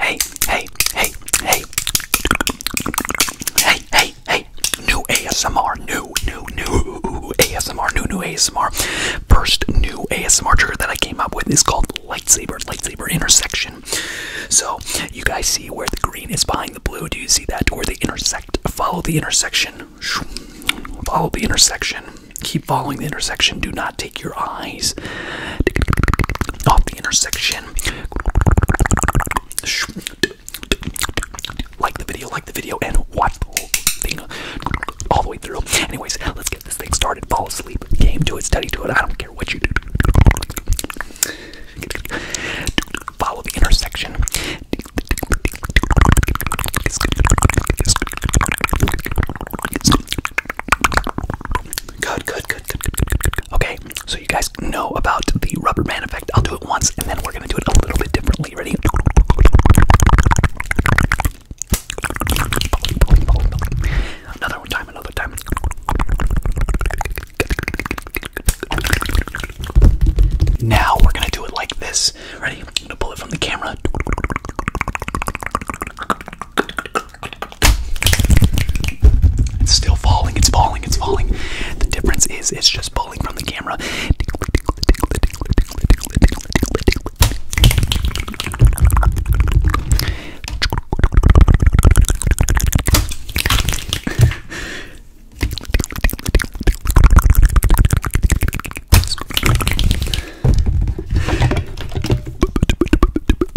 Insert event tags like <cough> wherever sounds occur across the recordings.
Hey, hey, hey, hey. Hey, hey, hey. New ASMR. New, new, new ASMR. New, new ASMR. First new ASMR trigger that I came up with is called lightsaber, lightsaber intersection. So you guys see where the green is behind the blue. Do you see that? Where they intersect. Follow the intersection. Follow the intersection. Keep following the intersection. Do not take your eye off the intersection. Like the video, like the video, and what the whole thing all the way through. Anyways, let's get this thing started. Fall asleep, game to it, study to it. I don't care what you do. Follow the intersection. Good, good, good, good, good, good, good, Okay, so you guys know about the rubber man effect. I'll do it once and then we're gonna do it a little bit differently. Ready? Another one time, another time. Now we're gonna do it like this. Ready? gonna pull it from the camera. It's still falling, it's falling, it's falling. The difference is it's just pulling from the camera. One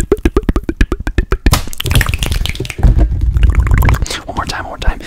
more time, one more time.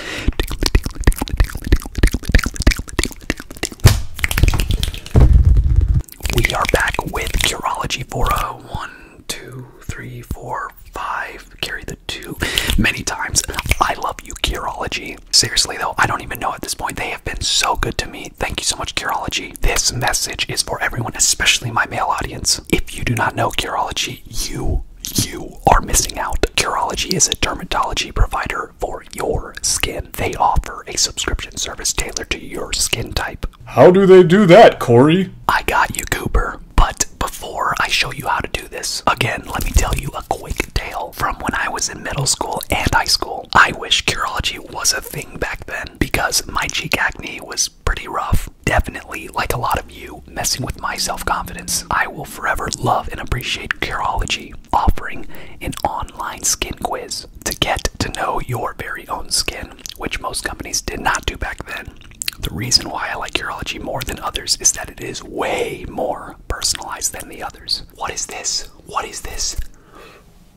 We are back with Curology for a one, two, three, four, five. Carry the two many times. I love you, Curology. Seriously, though, I don't even know at this point. They have been so good to me. Thank you so much, Curology. This message is for everyone, especially my male audience. If you do not know Curology, you you are missing out. Curology is a dermatology provider for your skin. They offer a subscription service tailored to your skin type. How do they do that, Corey? I got you, Cooper. But before I show you how to do this, again, let me tell you a quick tale from when I was in middle school and high school. I wish Curology was a thing back then because my cheek acne was pretty rough. Definitely, like a lot of you, messing with my self confidence. I will forever love and appreciate Curology offering an online skin quiz to get to know your very own skin, which most companies did not do back then. The reason why I like Curology more than others is that it is way more personalized than the others. What is this? What is this?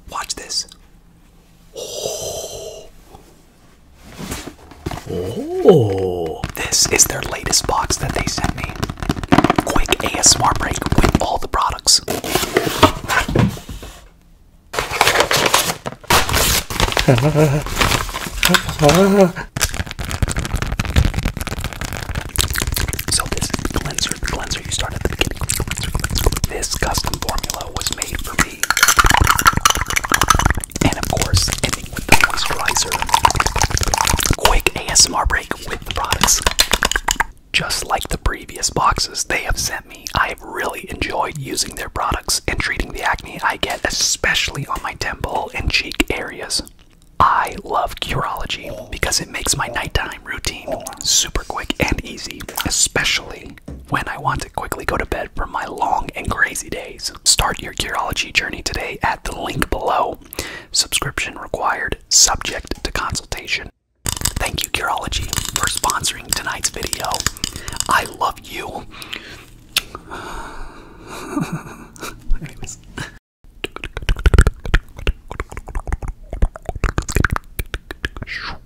Watch this. Oh. oh, this is their latest box that they sent me. Quick ASMR break with all the products. <laughs> So this is the cleanser, cleanser you started at the beginning. This custom formula uh, was made for me. And of course, ending with the moisturizer. Quick ASMR break with the products. Just like the previous boxes they have sent me, I have really enjoyed using their products and treating the acne I get, especially on my temple and cheek areas. I love Curology because it makes my nighttime routine super quick and easy, especially when I want to quickly go to bed from my long and crazy days. Start your Curology journey today at the link below. Subscription required, subject to consultation. Thank you, Curology, for sponsoring tonight's video. I love you. <laughs>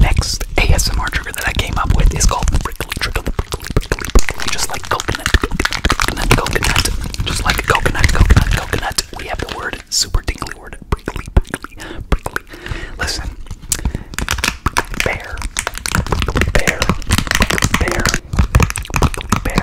Next ASMR trigger that I came up with is called the prickly trigger, the prickly, prickly, prickly, just like coconut, coconut, coconut, just like coconut, coconut, coconut. We have the word, super tingly word, prickly, prickly, prickly. Listen, bear, bear, bear, bear,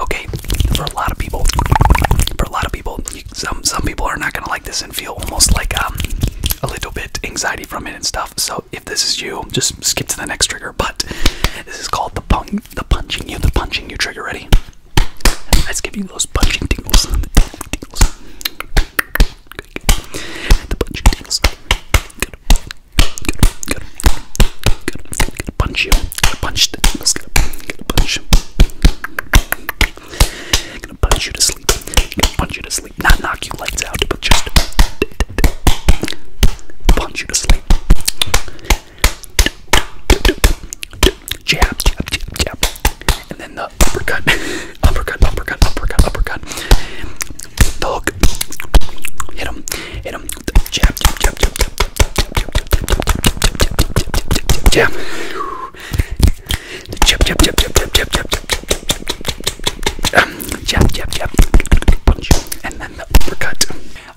Okay, for a lot of people, for a lot of people, some some people are not gonna like this and feel almost like um a little bit anxiety from it and stuff. So if this is you, just skip to the next trigger. But this is called the pun the punching you, the punching you trigger. Ready? Let's give you those punching tingles. tingles. The punching tingles. Good. Good. Good. Good. Good. Punch you. Gonna punch the Gonna punch. Gonna punch you to sleep. Gonna punch you to sleep. Not knock you lights out, but just punch you to sleep jab, jab, jab, jab, and then the uppercut, uppercut, uppercut, uppercut, uppercut, the hook, hit him, hit him, jab, jab, jab, jab, jab, jab, jab, jab, jab, jab, jab, jab, jab, jab, jab, jab, punch, and then the uppercut.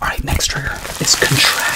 All right, next trigger is contract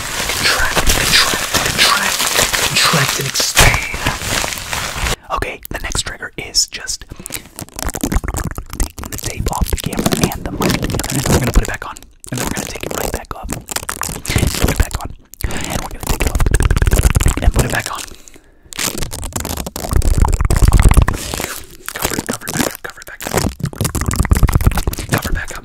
contract, contract, contract, and expand. Okay, the next trigger is just taking the tape off the camera and the mic we're gonna put it back on, and then we're gonna take it right back off, put it back on, and put it back on. Cover it, cover it back up, cover it Cover it back up.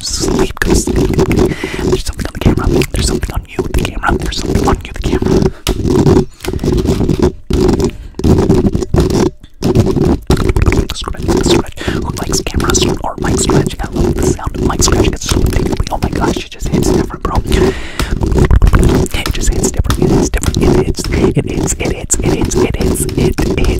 Sleep, go sleep. There's something on the camera. There's something on you, the camera. There's something on you, the camera. Scratch, scratch. Who likes cameras or mic scratching? I love the sound of mic scratching. It's so particularly, oh my gosh, it just hits different, bro. It just hits different. It hits different. It hits, it hits, it hits, it hits, it hits, it hits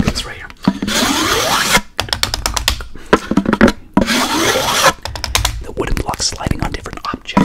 It's right here. The wooden blocks sliding on different objects.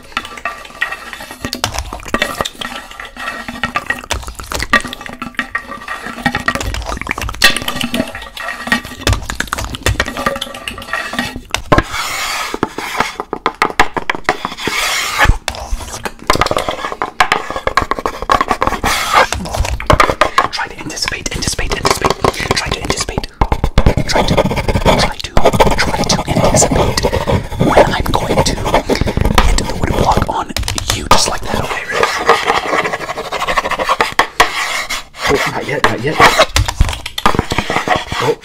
Try to anticipate, anticipate, anticipate. Try to anticipate to try to try to try to anticipate when I'm going to hit the wood block on you just like that, okay? Oh, not yet, not yet. Oh,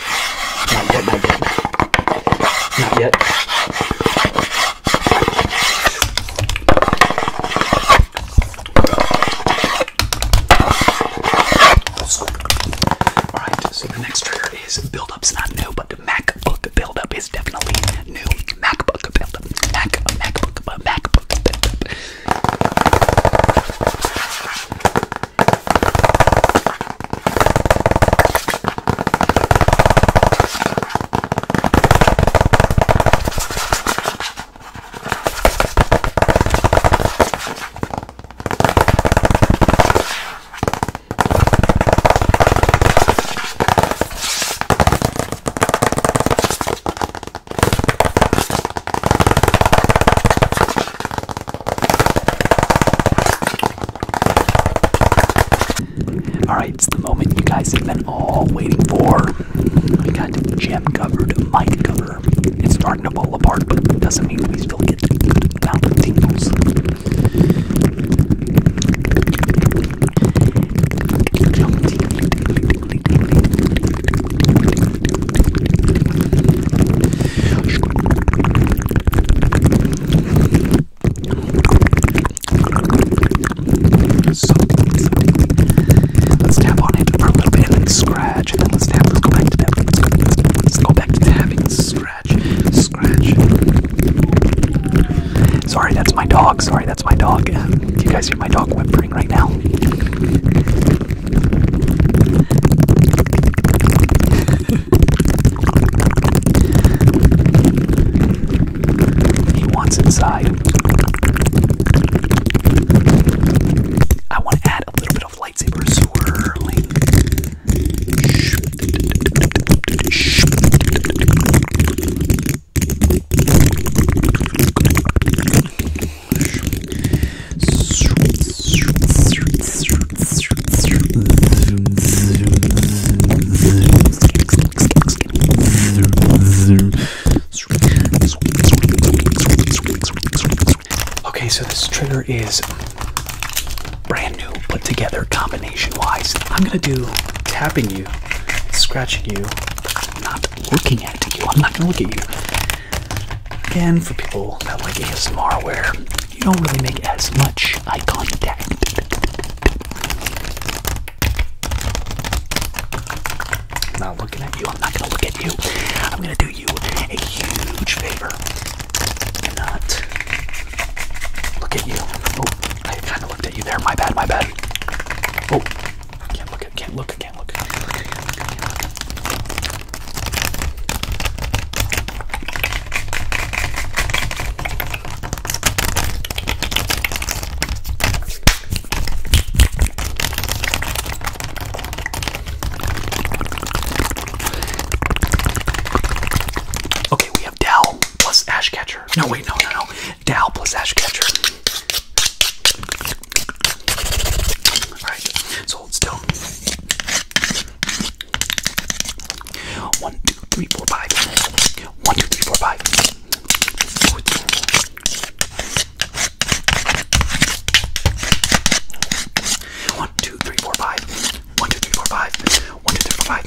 not yet, not yet. Not yet. Alright, so the next trigger is build-up's not new, but MacBook build-up is definitely new. MacBook build-up. Mac, MacBook, uh, MacBook build-up. Alright, it's the moment you guys have been all waiting for. I got gem covered, might covered. It's starting to fall apart, but it doesn't mean we still get the good amount of tingles. So, let's tap on it for a little bit and scratch scratch. Let's go back to tapping. Let's go back to tapping. Scratch. Scratch. Sorry, that's my dog. Sorry, that's my dog. Do um, you guys hear my dog whimpering right now? he wants inside. I want to add a little bit of lightsabers swirling. Okay, so this trigger is brand new, put together combination wise. I'm gonna do tapping you, scratching you, not looking at you. I'm not gonna look at you. Again, for people that like ASMR where you don't really make as much eye contact. I'm not looking at you. I'm not gonna look at you. I'm gonna do you a huge favor and not look at you. Oh, I kind of looked at you there. My bad. My bad. Oh, can't look. At, can't look. Can't look. Can't look. Can't look. Can't look. Okay, we have Dal plus Ashcatcher. No, wait, no, no, no. Dal plus Ashcatcher. Alright, so hold still. One, two, three, four, five. One, two, three, four, five. One, two, three, four, five. One, two, three, four, five. One, two, three, four, five.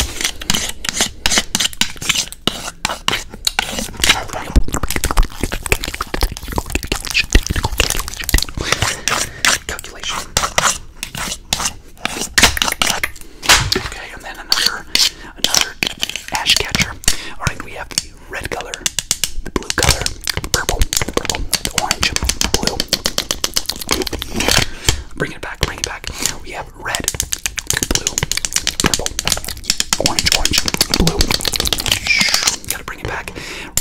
Calculation. Okay, and then another, another ash catcher. All right, we have the red color, the blue color, purple, purple, the orange, blue. Bring it back, bring it back. We have red, blue, purple, orange, orange, blue. gotta bring it back.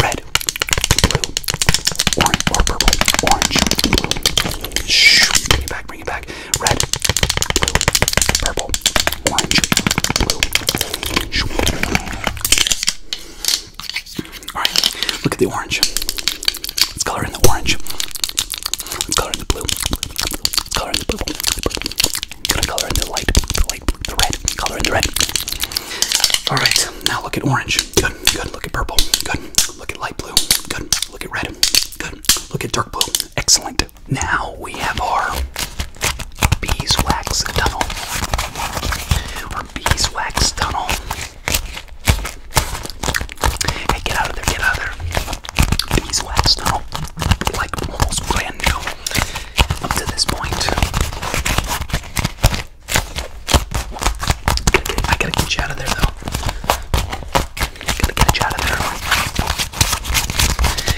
Red, blue, orange, purple, orange, blue. bring it back, bring it back. Red, blue, purple, orange, blue. Alright, look at the orange. Let's color in the orange. color in the blue. color in the blue. Gonna color in the light, the light, the red. Color in the red. Alright, now look at orange. Good, good. Look at purple. Good. Look at light blue. Good. Look at red. Good. Look at dark blue. Excellent. Now we have our beeswax tunnel or beeswax tunnel. Hey, get out of there! Get out of there! Beeswax tunnel, like almost brand new up to this point. I gotta get you out of there, though. gotta get you out of there.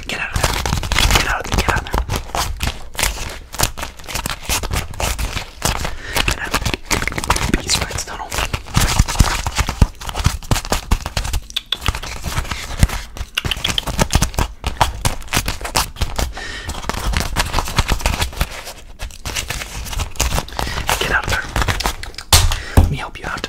Get out of there. Get out Get out and I'm Get out of there. Let me help you out.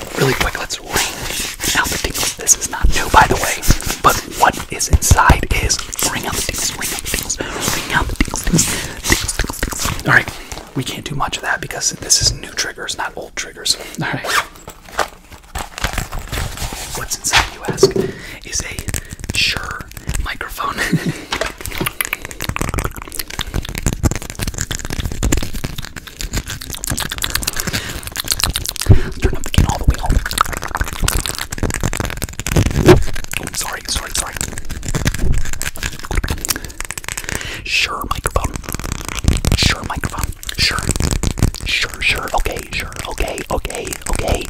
really quick, let's ring out the deals. This is not new, by the way, but what is inside is ring out the deals, ring out the deals, ring out the tingles, All right, we can't do much of that because this is new triggers, not old triggers. All right. What's inside, you ask, is a sure microphone. <laughs> Turn up the gain all the way, all oh, sorry, sorry, sorry. Sure, microphone. Sure, microphone. Sure. Sure, sure. Okay, sure. Okay, okay, okay.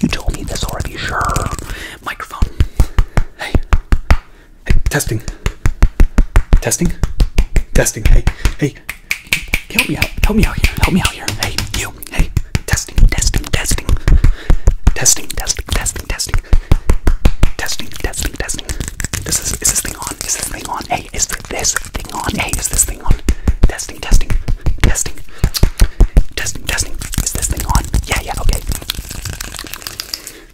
You told me this already. Sure. Microphone. Hey. Hey, testing. Testing. Testing. Hey, hey. Help me out. Help me out here. Help me out here. Hey, you. Hey. Testing. Testing. Testing. Testing. Testing. Testing. Testing. Testing. Testing. Testing. This is is this thing on? Is this thing on? Hey, is this thing on? Hey, is this thing on? Testing. Testing. Testing. Testing. Testing. Is this thing on? Yeah, yeah, okay.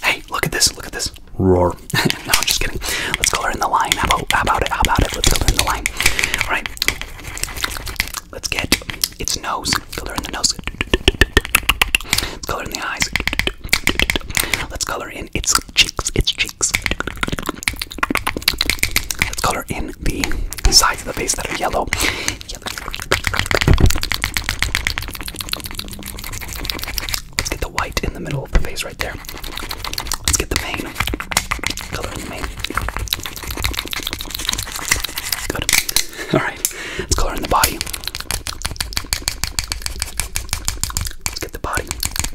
Hey, look at this, look at this. Roar. <laughs> no, I'm just kidding. Let's color in the line. How about, it? How about it? Let's color in the line. Alright. Let's get its nose. Color in the nose. Let's color in the eyes. Let's color in its cheeks, its cheeks. Let's color in the sides of the face that are yellow. Let's get the white in the middle of the face right there. Let's get the mane. Color in the mane. Good. <laughs> Alright. Let's color in the body. Let's get the body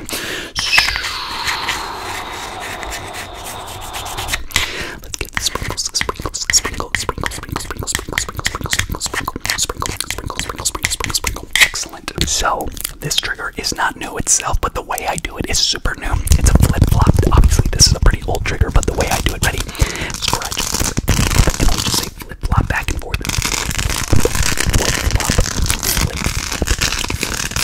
Let's get the sprinkles, sprinkles, sprinkles, sprinkles, sprinkles, sprinkles, sprinkles, sprinkles, sprinkles, sprinkles, sprinkles, sprinkles, sprinkles, sprinkles, sprinkles, sprinkles. Excellent. So this trigger is not new itself, but the way I do it is super new. It's a flip flop. Obviously, this is a pretty old trigger, but the way I do it, ready? Scratch. And just say flip flop back and forth.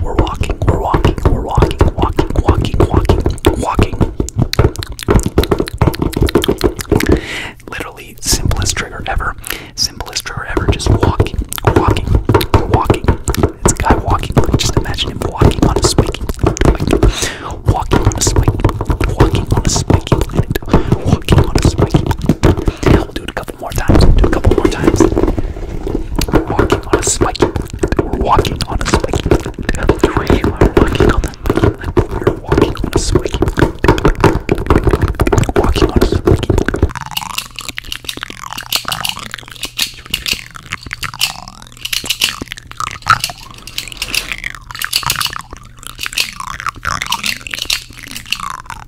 We're walking, we're walking, we're walking, walking, walking, walking, walking. Literally, simplest trigger ever. Simplest trigger ever. Just walking, walking, walking. It's guy walking. Just imagine him walking on a spiky. Walking on a spiky. Walking Walking on a spiky. Walking We'll do it a couple more times. We'll do it a couple more times. We're walking on a spiky. We're walking on a spiky. Three. We're walking on that spiky. We're walking on a spiky. Walking on a spiky.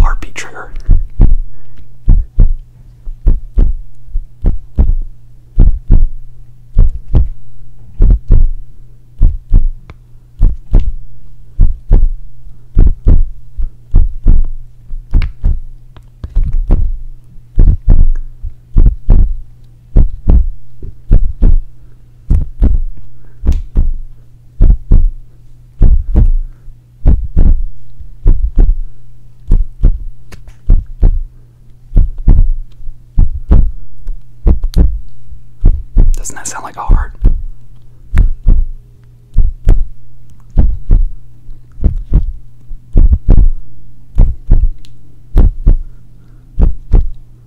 Heartbeat trigger. Doesn't that sound like a heart?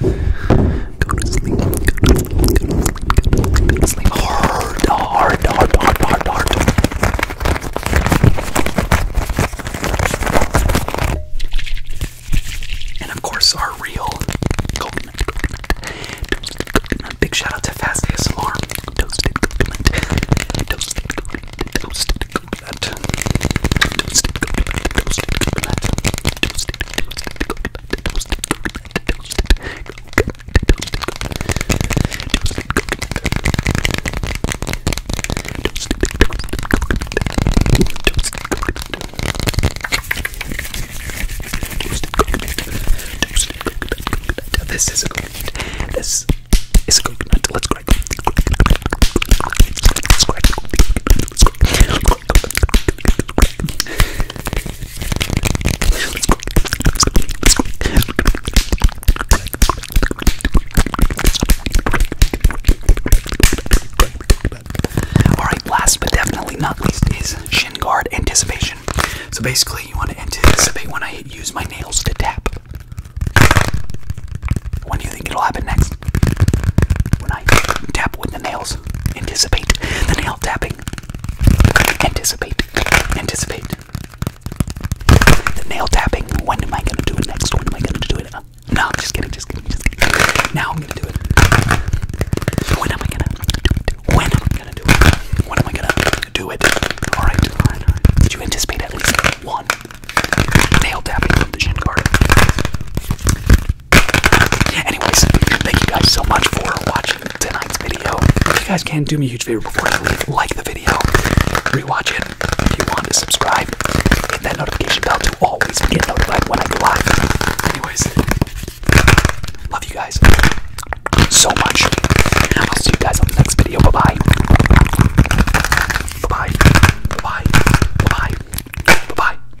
Go to sleep. Go to sleep. Go to sleep. Go to sleep. Hard, hard, hard, hard, hard, hard. And of course, our real coconut, Big shout to Fast ASMR. Toasted this is a coconut. This is a coconut. Let's crack. Let's crack. Let's crack. Let's crack. Alright, last but definitely not least is shin guard anticipation. So basically, you want to anticipate when I use my nails to tap. When do you think it'll happen next? When I tap with the nails. Anticipate the nail tapping. Anticipate. Anticipate. The nail tapping. When am I gonna do it next? When am I gonna do it? no, just kidding, just kidding, just kidding. Now I'm gonna do it. When am I gonna do it? When am I gonna do it? When am I gonna do it? Alright, alright. Did you anticipate at least one nail tapping from the shin guard? Anyways, thank you guys so much for watching tonight's video. If you guys can do me a huge favor before I leave, like the video, rewatch it. If you want to subscribe, hit that notification bell to always get notified when I go live. Anyways, love you guys so much. I'll see you guys on the next video. Bye bye. Bye bye. Bye bye. Bye bye. Bye bye.